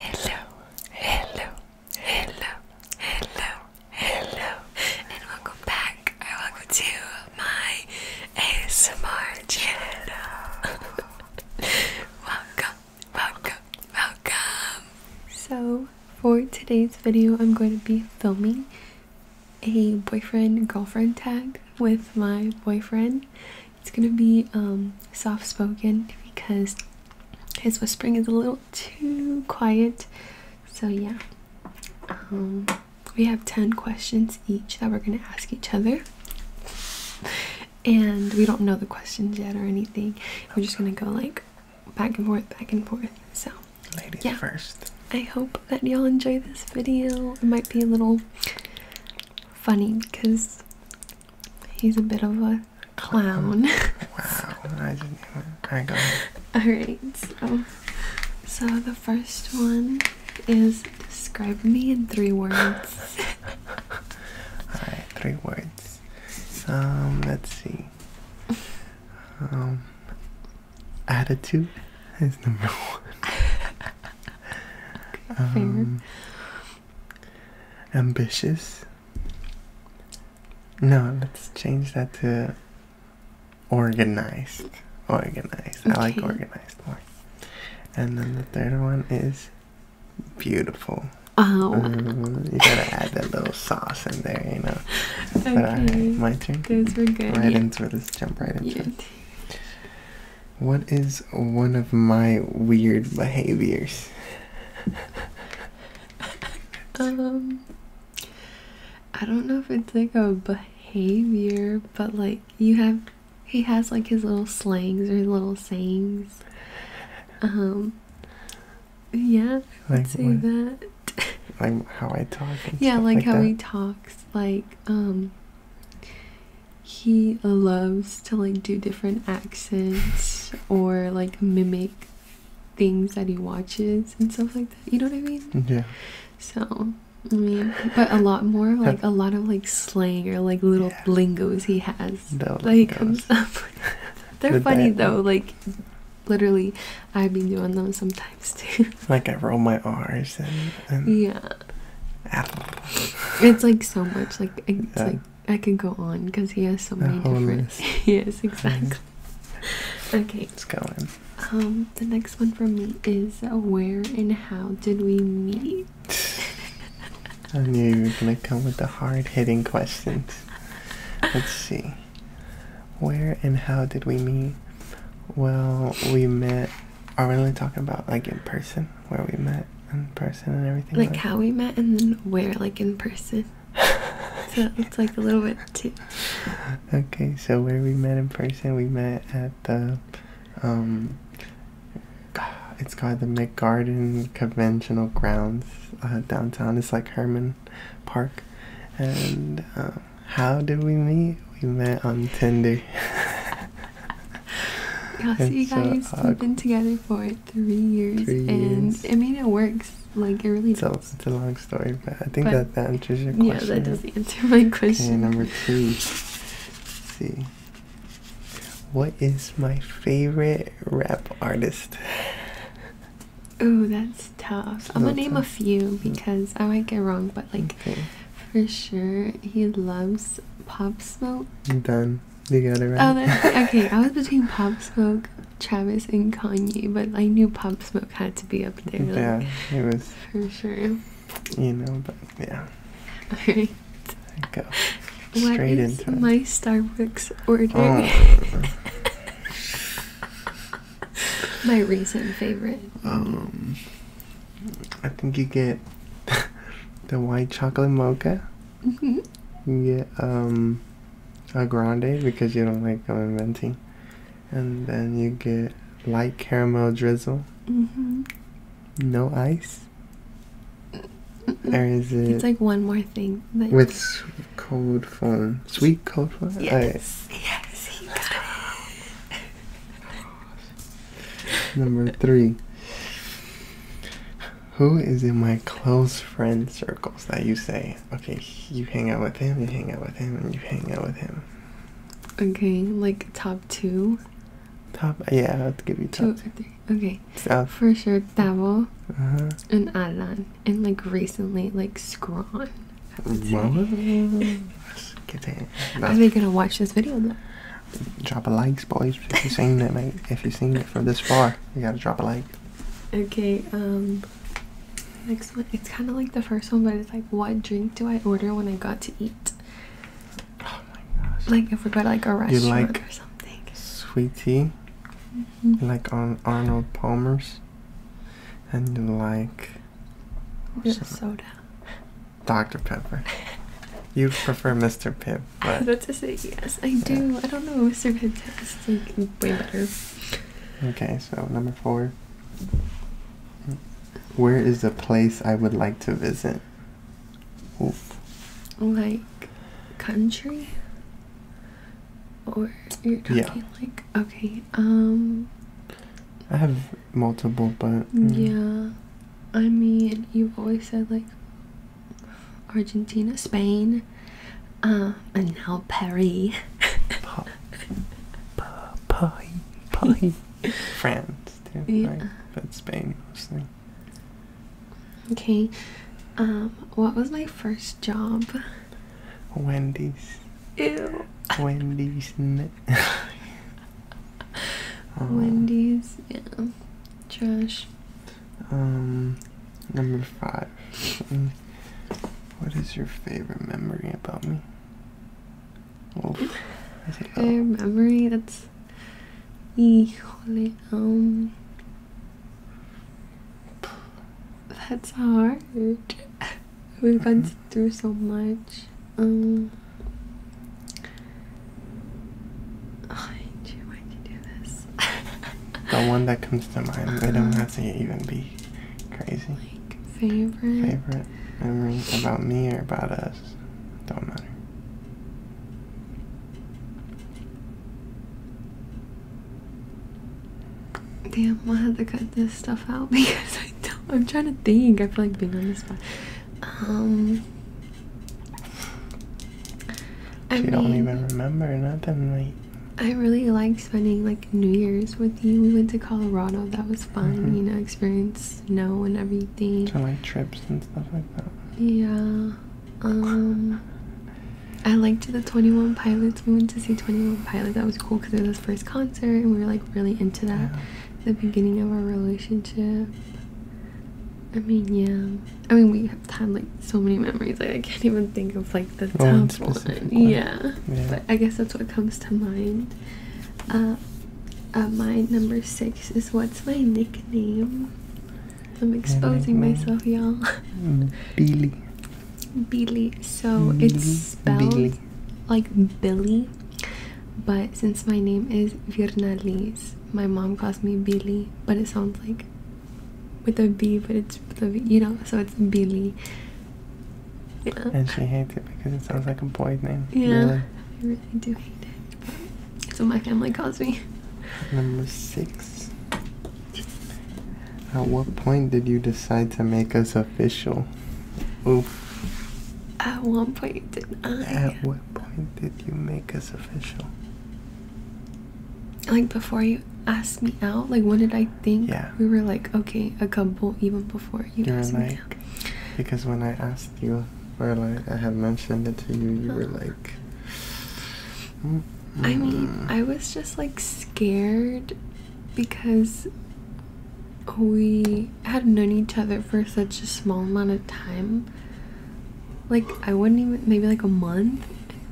Hello, hello, hello, hello, hello, and welcome back or welcome to my ASMR channel. welcome, welcome, welcome. So, for today's video, I'm going to be filming a boyfriend girlfriend tag with my boyfriend. It's gonna be um, soft spoken because his whispering is a little too quiet. So, yeah. Um, we have 10 questions each that we're gonna ask each other. And we don't know the questions yet or anything. We're just gonna go like back and forth, back and forth. So, ladies first. I hope that y'all enjoy this video. It might be a little funny because he's a bit of a clown. wow, Alright, go ahead. Alright, so, so the first one is describe me in three words. Alright, three words. Um, let's see. Um, attitude is number one. um, ambitious. No, let's change that to organized. Organized. I like organized more. And then the third one is beautiful. Oh, um, you gotta add that little sauce in there, you know. Uh, okay. right, my turn. Right into it. Let's jump right into it. What is one of my weird behaviors? um, I don't know if it's like a behavior, but like you have, he has like his little slangs or his little sayings. Um, yeah, like that. like how I talk. yeah, like, how he talks. Like um, he uh, loves to like do different accents or like mimic things that he watches and stuff like that. You know what I mean? Mm-hmm. Yeah. So I mean, but a lot more like a lot of like slang or like little yeah. lingos he has that like comes up. They're funny though. Like literally, I've been doing them sometimes too. Like I roll my R's and, yeah. It's like so much like it's like I could go on because he has so many different. yes, exactly. okay. Let's go in. Um, the next one from me is uh, where and how did we meet? I knew you were gonna come with the hard-hitting questions. Let's see. Where and how did we meet? Well, we met. Are we only talking about like in person? where we met in person and everything. Like, how we met and then where, like in person. so it's like a little bit too. Okay, so where we met in person, we met at the, um, it's called the McGarden Conventional Grounds uh, downtown. It's like Herman Park. And um, how did we meet? We met on Tinder. yeah, see you guys we have been together for three years, three and I mean it works. Like it really. It's, does. A, it's a long story, but I think that, that answers your question. Yeah, that does answer my question. Okay, number two. Let's see, what is my favorite rap artist? Oh, that's tough. I'm gonna name a few mm. because I might get wrong, but like for sure, he loves Pop Smoke. Done. You okay. I was between Pop Smoke, Travis, and Kanye, but I knew Pop Smoke had to be up there. yeah, it was for sure. You know, but yeah. All right. Go straight into my Starbucks order. Oh. my recent favorite. Um, I think you get the white chocolate mocha. Mm-hmm. Yeah, um, a grande because you don't like commenting, and then you get light caramel drizzle. Mm-hmm. No ice. Or it? It's like one more thing. with cold foam, sweet cold foam. Yes. Yes. Number three who is in my close friend circles that you say, okay, you hang out with him, you hang out with him, and you hang out with him? Okay, like top two. Top yeah, I'll give you top two. Okay, for sure, Davil uh-huh. and Alan, and like recently, like Scrawn. Are they gonna watch this video though? Drop a likes, boys, if you've seen it, mate. If you've seen it from this far, you gotta drop a like. Okay, um, next one. It's kind of like the first one, but it's like, what drink do I order when I got to eat? Oh my gosh. Like, if we go to like a restaurant or something. Sweet tea, mm-hmm. like on Arnold Palmer's, and you like. Soda. Dr. Pepper. you prefer Mr. Pibb. I was to say yes, I do. I don't know, Mr. Fantastic like way better. Okay, so number four. Where is a place I would like to visit? Like country? Or you're talking like okay, um I have multiple but mm. Yeah. I mean you've always said like Argentina, Spain, uh, and now Paris. Paris, Paris. France, too, But Spain mostly. Okay, um, what was my first job? Wendy's. Ew. Wendy's. Uh, Wendy's, yeah. Trash. Um, number five. What is your favorite memory about me? Oof. Favorite memory? That's. Híjole, um. That's hard. We've gone mm -hmm. through so much. Um. Why do you, why'd do this? the one that comes to mind. Um, don't have to even be crazy. favorite memories about me or about us. Don't matter. Damn, i will have to cut this stuff out because I'm trying to think. I feel like being on the spot. Um, I you don't even remember nothing, like. I really like spending like New Year's with you. We went to Colorado. That was fun. Mm-hmm. You know, experience snow and everything. So like trips and stuff like that. Yeah. Um, I liked the Twenty One Pilots. We went to see Twenty One Pilots. That was cool because it was our first concert, and we were like really into that. The beginning of our relationship. I mean, yeah. I mean, we have had like so many memories. Like, I can't even think of like the oh, top one. Yeah. But I guess that's what comes to mind. Uh, uh my number six is what's my nickname? I'm exposing myself, y'all. Mm, Billy. Billy. So mm, it's spelled like Billy, but since my name is Virnalis, my mom calls me Billy, but it sounds like with a B, but it's with you know, so it's Billy. Yeah. And she hates it because it sounds like a boy's name. Yeah, really. I really do hate it. That's what my family calls me. Number six. At what point did you decide to make us official? Oof. At one point, did I? At what point did you make us official? Like before you asked me out, like when did I think? We were like, okay, a couple even before you, asked me out. Because when I asked you or like I had mentioned it to you, you were like mm, I mm. mean, I was just like scared because we had known each other for such a small amount of time like I wouldn't even maybe like a month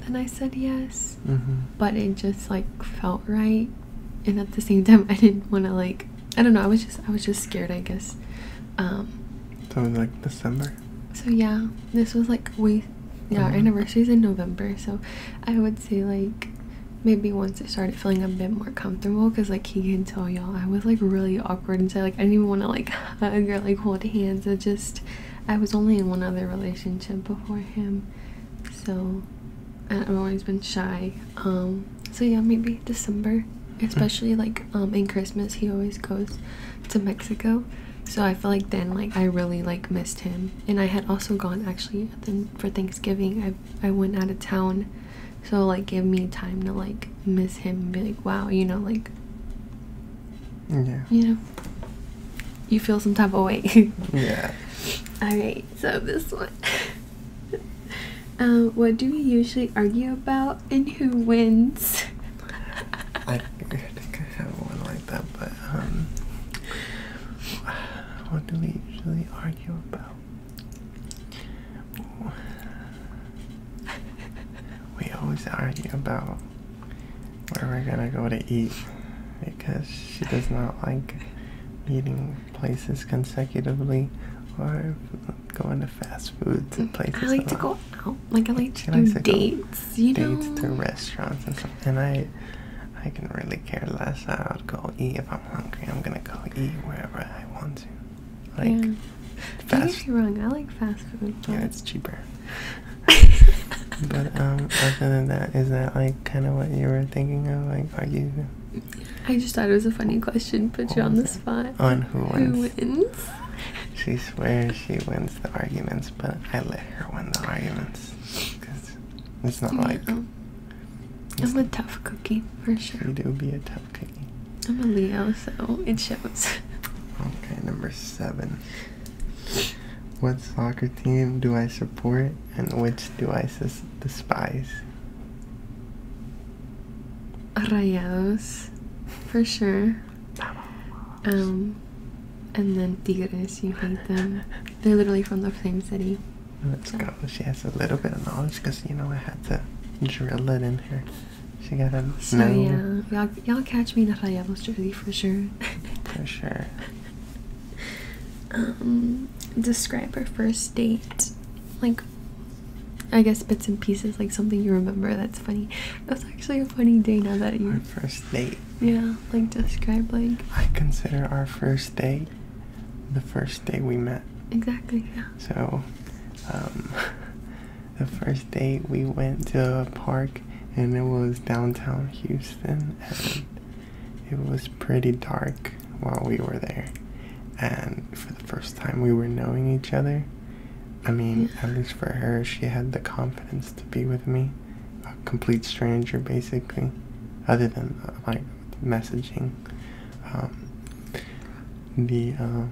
and then I said yes. Mm-hmm. But it just like felt right and at the same time I didn't want to like I don't know, I was just I was just scared, I guess. Um so in like December. So yeah, this was like we yeah, our mm-hmm. anniversary is in November, so I would say like maybe once it started feeling a bit more comfortable because like he can tell y'all i was like really awkward and so like I didn't even want to like hug or like hold hands. I just I was only in one other relationship before him, so I've always been shy. Um, so yeah, maybe December, mm-hmm. especially like um in Christmas he always goes to Mexico. So I felt like then like I really like missed him, and I had also gone actually then for Thanksgiving. I I went out of town so like give me time to like miss him be like wow you know like yeah you know you feel some type of way yeah all right so this one um what do we usually argue about and who wins I, I think I have one like that but um what do we usually argue about we always argue about where we're gonna go to eat because she does not like eating places consecutively or going to fast food places. I like to go out. Like I like she to do dates, you know. Dates to restaurants and stuff. And I I can really care less. I'll go eat if I'm hungry. I'm gonna go eat wherever I want to yeah. fast. Don't get me wrong. I like fast food. Yeah, it's cheaper. but um, other than that, is that like kind of what you were thinking of? Like, are I just thought it was a funny question. Put you on the spot. On who wins? Who wins? she swears she wins the arguments, but I let her win the arguments because it's not like. I'm a tough cookie for sure. You do be a tough Okay. I'm a Leo, so it shows. okay, number seven. What soccer team do I support and which do I despise? Rayados, for sure. Um, and then Tigres, you hate them. They're literally from the same city. Let's go. She has a little bit of knowledge because, you know, I had to drill it in here. She got a So yeah, y'all catch me not. in Rayados jersey for sure. for sure. um, describe our first date, like. I guess bits and pieces, like something you remember that's funny. That was actually a funny day now that you. Our first date. Yeah, like describe like. I consider our first date the first day we met. Exactly, yeah. So, um, The first date we went to a park and it was downtown Houston and it was pretty dark while we were there. And for the first time we were knowing each other. I mean, at least for her, she had the confidence to be with me. A complete stranger, basically, other than uh, like messaging. Um, the uh,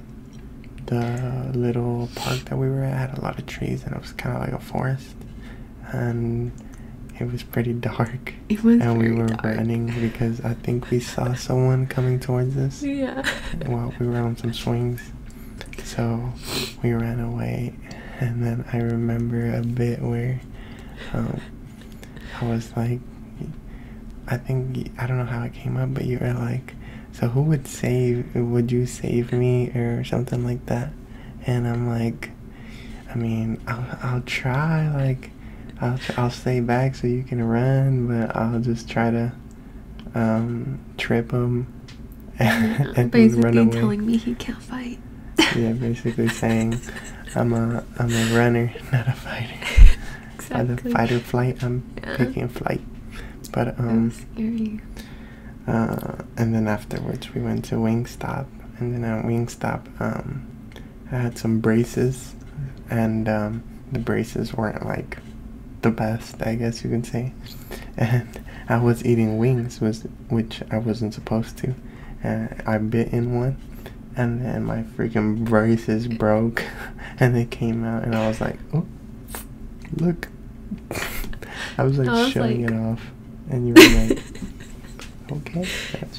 the little park that we were at had a lot of trees and it was kind of like a forest and it was pretty dark it was and we were running because i think we saw someone coming towards us yeah while we were on some swings so we ran away and then i remember a bit where um, i was like I think I don't know how it came up, but you were like, "So who would save? Would you save me or something like that?" And I'm like, "I mean, I'll I'll try. Like, I'll I'll stay back so you can run, but I'll just try to um, trip him." and basically run away. telling me he can't fight. yeah, basically saying, "I'm a I'm a runner, not a fighter." Exactly. Either fight or flight. I'm yeah. picking flight. But um, scary. Uh, and then afterwards we went to Wingstop, and then at Wingstop, um, I had some braces, and um, the braces weren't like the best, I guess you could say. And I was eating wings, was which I wasn't supposed to. And I bit in one, and then my freaking braces broke. and they came out, and I was like, oh, look. I was like showing it off, and you were like, okay.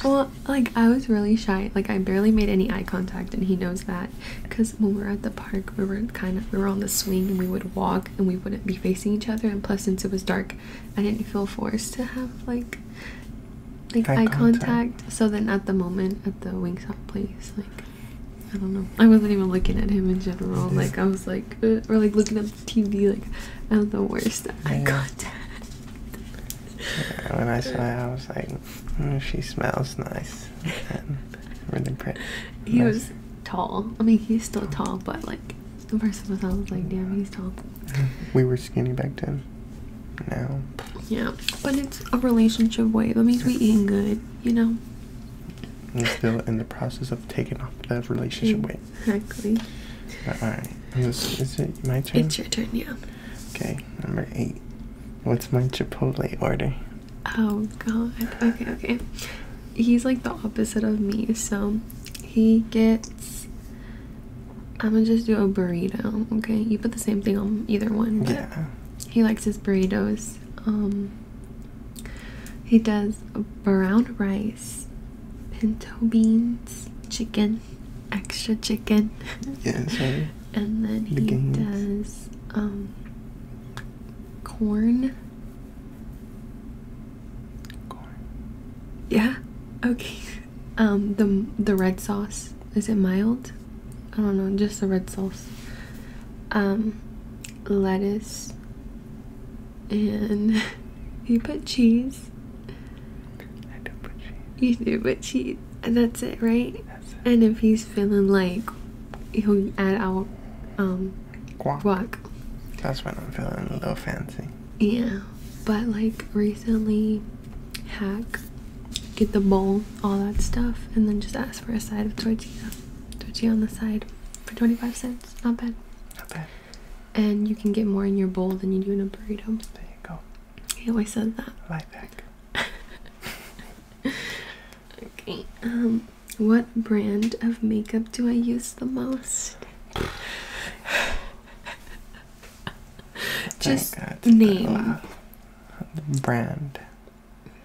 Well, like I was really shy. Like I barely made any eye contact, and he knows that. Because when we were at the park, we were kind of we were on the swing, and we would walk, and we wouldn't be facing each other. And plus, since it was dark, I didn't feel forced to have like like eye, contact. contact. So then, at the moment at the Wingstop place, like I don't know. I wasn't even looking at him in general. Like I was like, uh, or like looking at the TV. Like I'm the worst at yeah. eye contact. Yeah, when I saw it, I was like, oh, she smells nice. really pretty. He was tall. I mean, he's still tall, but like the person was, I was like, damn, he's tall. We were skinny back then. No. Yeah, but it's a relationship way. That means we eating good, you know. We're still in the process of taking off that relationship weight. Exactly. All right. is it my turn? It's your turn. Yeah. Okay. Number eight. What's my Chipotle order? Oh God. Okay. Okay. He's like the opposite of me. So he gets. I'm gonna just do a burrito. Okay. You put the same thing on either one. Yeah. He likes his burritos. Um, he does brown rice, pinto beans, chicken, extra chicken. Yeah, sorry. and then he does um, corn. Corn. Yeah. Okay. Um, the the red sauce. Is it mild? I don't know, just the red sauce. Um, lettuce, and you put cheese. I do put cheese. You do put cheese, and that's it, right? That's it. And if he's feeling like he'll add out um, guac. guac. That's when I'm feeling a little fancy. Yeah, but like recently, hack, get the bowl, all that stuff, and then just ask for a side of tortilla. Tortilla on the side for 25 cents. Not bad. Not bad. And you can get more in your bowl than you do in a burrito. There you go. He always said that. Life hack. okay. Um, what brand of makeup do I use the most? just name brand.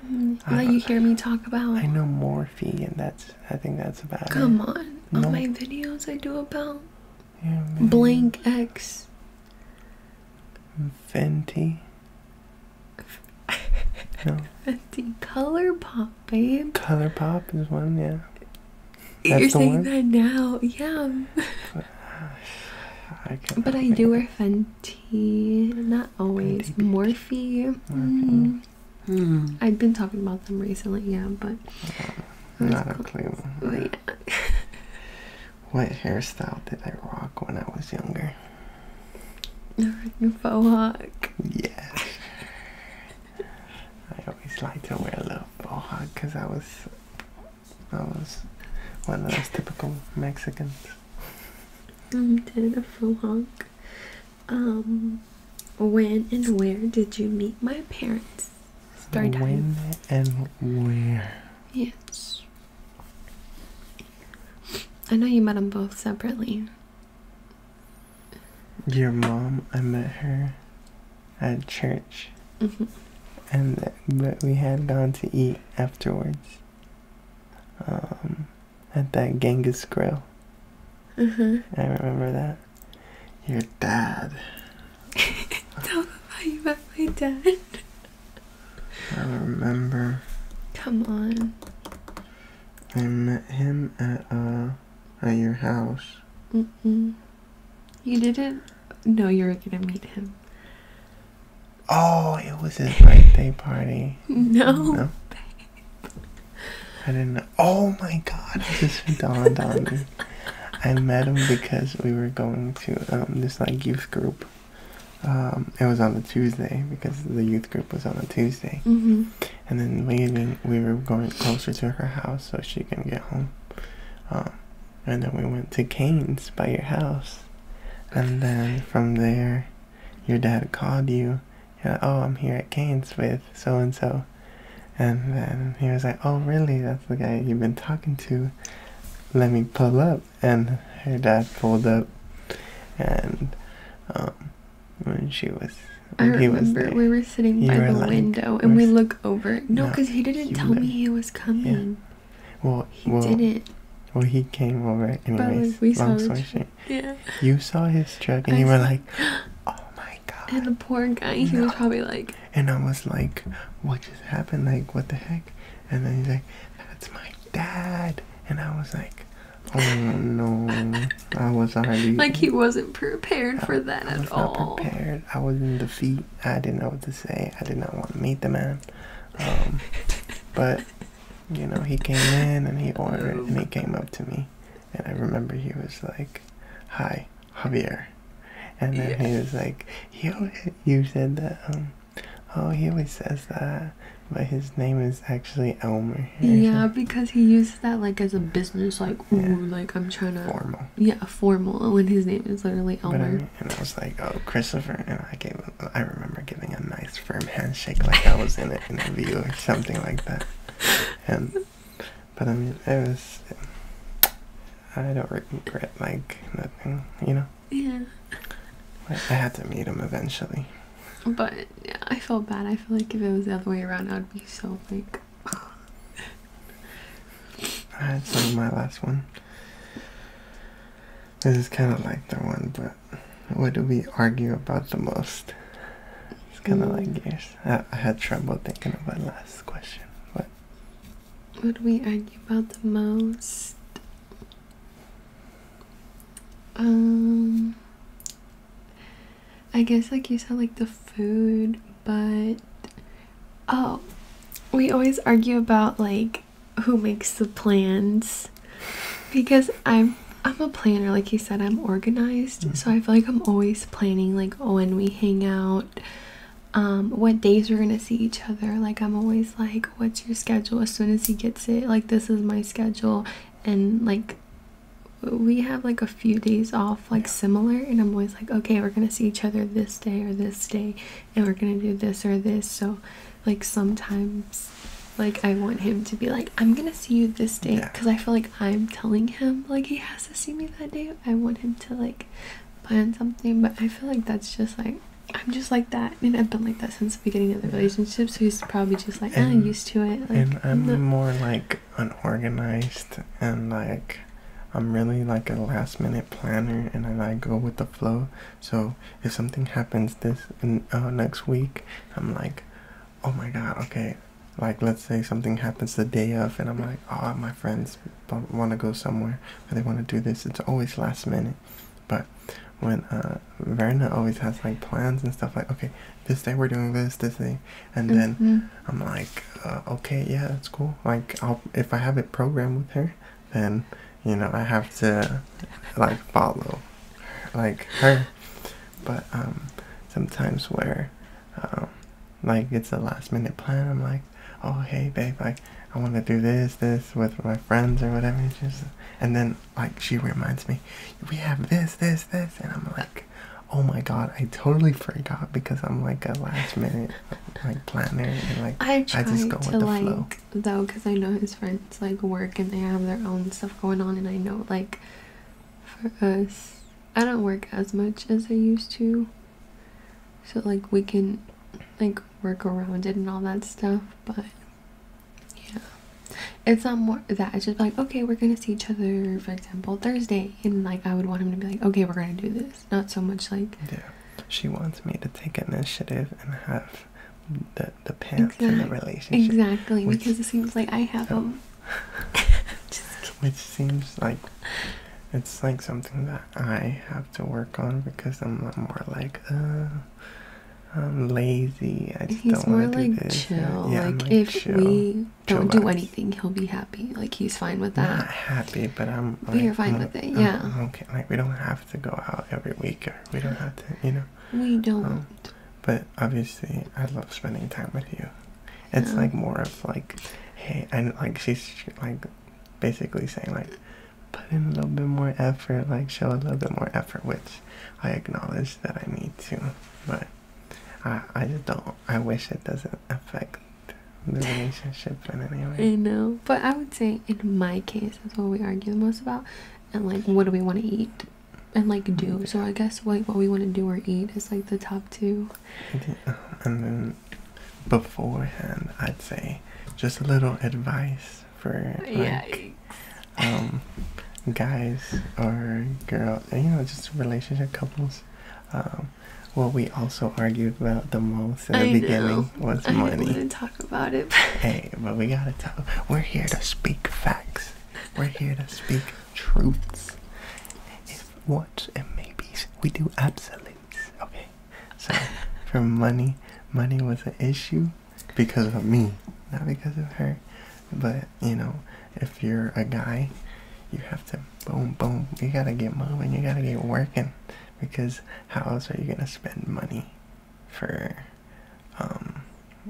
Now mm, you hear me talk about. I know Morphe, and that's. I think that's about it. Come on, no. on my videos I do about yeah, blank X. Fenty. no. Fenty ColourPop, babe. ColourPop is one, yeah. You're saying that now, yeah. But I, but I do wear Fenty not always. Morphe. Mm-hmm. Mm-hmm. Hmm. I've been talking about them recently, yeah, but uh, not a clue. Oh, what hairstyle did I rock when I was younger? Faux hawk. Yeah. I always liked to wear a little faux because I was I was one of those typical Mexicans. You um, did a full honk. Um, when and where did you meet my parents? Story time. and where? Yes. I know you met them both separately. Your mom, I met her at church. Mm-hmm. And but we had gone to eat afterwards. Um, at that Genghis Grill. Mm -hmm. I remember that. Your dad. Tell them how you met my dad. I remember. Come on. I met him at uh at your house. Mm-mm. You didn't know you were gonna meet him. Oh, it was his birthday party. No. no? I didn't Oh my god, it just dawned on me. I met him because we were going to um, this like youth group. Um, it was on the Tuesday because the youth group was on a Tuesday. Mm-hmm. And then leaving, we were going closer to her house so she can get home. Um, and then we went to Kane's by your house. And then from there, your dad called you. And, oh, I'm here at Kane's with so and so. And then he was like, Oh, really? That's the guy you've been talking to. Let me pull up. And her dad pulled up. And um, when she was. I remember we were sitting by the window and we look over. No, because he didn't tell me he was coming. Well, he didn't. Well, he came over anyways. long story yeah. You saw his truck, and you were like, "Oh my god!" And the poor guy, he was probably like. And I was like, "What just happened? Like, what the heck?" And then he's like, "That's my dad," and I was like. Oh no! I was already like he wasn't prepared for that at all. I was not prepared. I was in defeat. I didn't know what to say. I did not want to meet the man. Um, but you know, he came in and he ordered and he came up to me, and I remember he was like, "Hi, Javier," and then he was like, "He, you said that." Um, oh, he always says that, but his name is actually Elmer. Yeah, because he uses that like as a business, like ooh, like I'm trying to formal. Yeah, formal when his name is literally Elmer and I was like, "Oh, Christopher!" And I gave, I remember giving a nice firm handshake, like I was in an interview or something like that. And, but I mean, it was. I don't regret like nothing, you know. Yeah. I had to meet him eventually. But yeah, I felt bad. I feel like if it was the other way around, I'd be so like. I had some of my last one. This is kind of like the one, but what do we argue about the most? It's kind of hmm. like yours. I, I had trouble thinking of my last question. What? What do we argue about the most? Um, I guess like you said, like the food, but oh, we always argue about like who makes the plans because I'm I'm a planner like you said I'm organized mm-hmm. so I feel like I'm always planning like oh, when we hang out um what days we're gonna see each other like I'm always like what's your schedule as soon as he gets it like this is my schedule and like we have like a few days off like similar and I'm always like okay we're gonna see each other this day or this day and we're gonna do this or this. So, like, sometimes, like, I want him to be like, I'm gonna see you this day because I feel like I'm telling him, like, he has to see me that day. I want him to, like, plan something, but I feel like that's just like. I'm just like that, I and mean, I've been like that since the beginning of the relationship. So he's probably just like, I'm used to it. Like, and I'm no. more like unorganized and like I'm really like a last minute planner and I go with the flow. So if something happens this uh, next week, I'm like, oh my god, okay. Like let's say something happens the day of, and I'm like, oh my friends want to go somewhere or they want to do this. It's always last minute. But when uh, Verna always has like plans and stuff like, okay, this day we're doing this, this thing, and then mm-hmm. I'm like, uh, okay, yeah, that's cool. Like if I have it programmed with her then you know I have to like follow like her. But um, sometimes where um, like it's a last minute plan, I'm like, oh hey babe, like I want to do this this with my friends or whatever. And, just, and then like she reminds me, we have this this this, and I'm like, oh my god, I totally forgot because I'm like a last minute like planner and like I, try I just go to with the flow. though because I know his friends like work and they have their own stuff going on and I know like for us I don't work as much as I used to so like we can like work around it and all that stuff but yeah it's not more that it's just like okay we're gonna see each other for example Thursday and like I would want him to be like okay we're gonna do this not so much like. Yeah. She wants me to take initiative and have the the pants in the relationship. Exactly, because it seems like I have oh. so, them. which seems like it's like something that I have to work on because I'm more like, uh, I'm lazy. I just don't want to like do this. Chill. Yeah, like, like if we don't do anything, he'll be happy. Like he's fine with that. Not happy, but I'm. but you're fine with it. Yeah. i like we don't have to go out every week or we don't have to you know we don't um, but obviously i love spending time with you it's like more of like hey and like she's like basically saying like put in a little bit more effort like show a little bit more effort which i acknowledge that i need to but i i just don't i wish it doesn't affect the relationship in any way. I know, but I would say in my case, that's what we argue the most about, and like what do we want to eat, and like do. Mm-hmm. So I guess like what we want to do or eat is like the top two. Yeah. And then beforehand, I'd say just a little advice for like um guys or girls, you know, just relationship couples. Um, what we also argued about the most in the beginning was money. I didn't want to talk about it. hey, but we gotta talk. We're here to speak facts. We're here to speak truths. If what and maybes, we do absolutes. Okay. So for money, money was an issue because of me, not because of her. But you know, if you're a guy, you have to boom, boom. You gotta get moving. You gotta get working because how else are you gonna spend money for um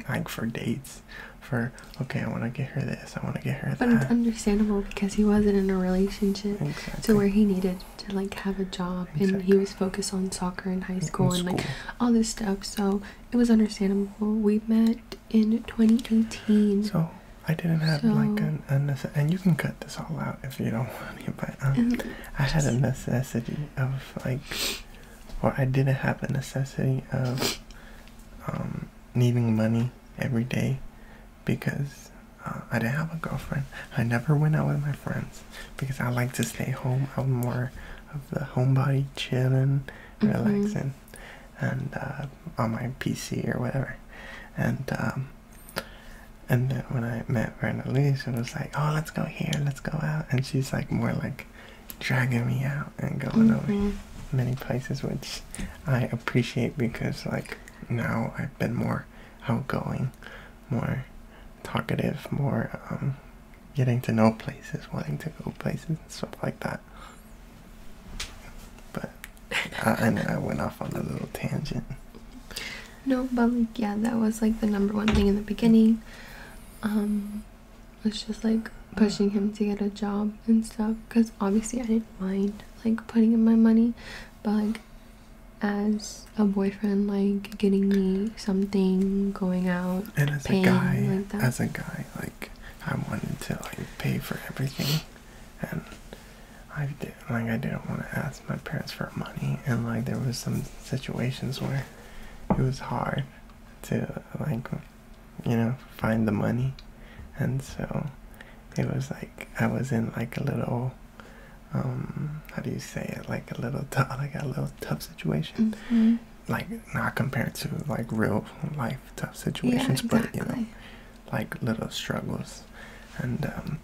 like for dates for okay i want to get her this i want to get her that but it's understandable because he wasn't in a relationship to where he needed to like have a job and he was focused on soccer in high school, school and like all this stuff so it was understandable we met in 2018 so I didn't have like an and you can cut this all out if you don't want it, but um, I had a necessity of like, or I didn't have a necessity of um, needing money every day because uh, I didn't have a girlfriend. I never went out with my friends because I like to stay home. I'm more of the homebody, chilling, mm-hmm. relaxing, and uh, on my PC or whatever. And um, and then when I met Bernalise, it was like, oh, let's go here, let's go out. And she's like more like dragging me out and going mm many places, which I appreciate because like now I've been more outgoing, more talkative, more um, getting to know places, wanting to go places and stuff like that. But I, I, I went off on a little tangent. No, but like yeah, that was like the number one thing in the beginning. Um, it's just like pushing him to get a job and stuff because obviously I didn't mind like putting in my money, but like as a boyfriend, like getting me something, going out, and paying, as a guy, like I wanted to like pay for everything and I did, like I didn't want to ask my parents for money, and like there was some situations where it was hard to like you know find the money, and so it was like I was in like a little um how do you say it like a little tough like a little tough situation. Mm-hmm. Like not compared to like real life tough situations, but you know, like little struggles, and um,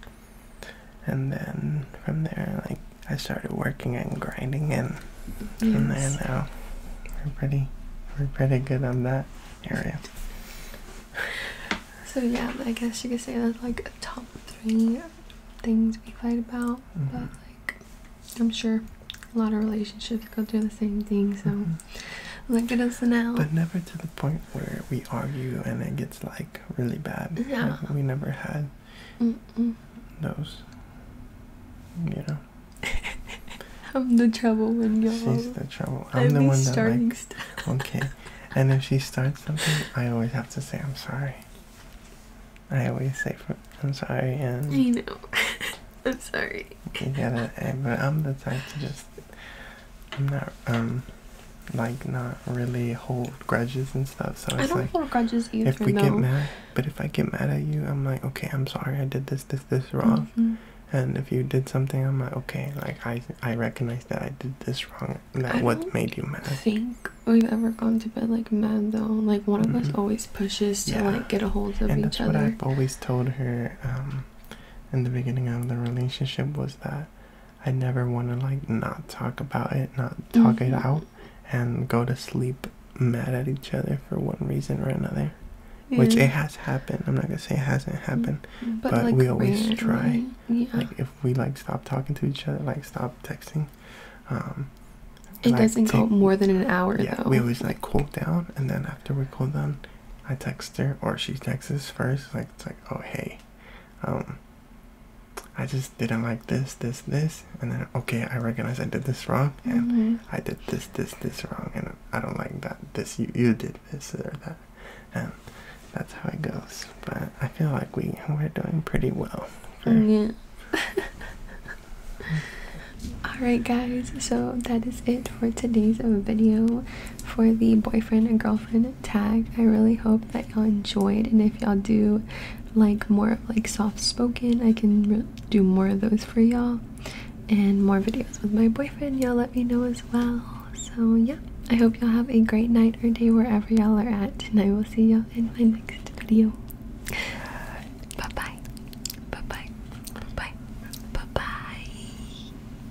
and then from there, like I started working and grinding, and yes. from there now we're pretty we're pretty good on that area. So yeah, I guess you could say that's like a top three things we fight about, mm-hmm. but like I'm sure a lot of relationships go through the same thing. So mm-hmm. look at us now. But never to the point where we argue and it gets like really bad. Yeah. we never had those. You know. I'm the trouble when you're. She's the trouble. I'm the one that like. Okay, and if she starts something, I always have to say I'm sorry. I always say I'm sorry and. I know. I'm sorry. You gotta, eh, but I'm the type to just I'm not um like not really hold grudges and stuff. So it's like If we get mad, but if I get mad at you, I'm like, okay, I'm sorry, I did this, this, this wrong. Mm-hmm. And if you did something, I'm like, okay, like I I recognize that I did this wrong. That what made you mad. I think we've ever gone to bed like mad though. Like one of us mm-hmm. always pushes to like get a hold of and each that's other. What I've always told her um, in the beginning of the relationship was that I never want to like not talk about it, not talk it mm-hmm. out, and go to sleep mad at each other for one reason or another. Which it has happened. I'm not gonna say it hasn't happened, mm, but, we always try. Like if we like stop talking to each other, like stop texting. Um, it doesn't go more than an hour though. We always like cool down, and then after we cool down, I text her or she texts us first. Like it's like, oh hey, um i just didn't like this this this and then okay i recognize i did this wrong and mm-hmm. i did this this this wrong and i don't like that this you you did this or that and that's how it goes but i feel like we we're doing pretty well yeah mm-hmm. all right guys so that is it for today's video for the boyfriend and girlfriend tag. I really hope that y'all enjoyed, and if y'all do like more of like soft spoken, I can do more of those for y'all, and more videos with my boyfriend. Y'all let me know as well. So yeah, I hope y'all have a great night or day wherever y'all are at, and I will see y'all in my next video. Bye bye, bye bye, bye bye, bye bye.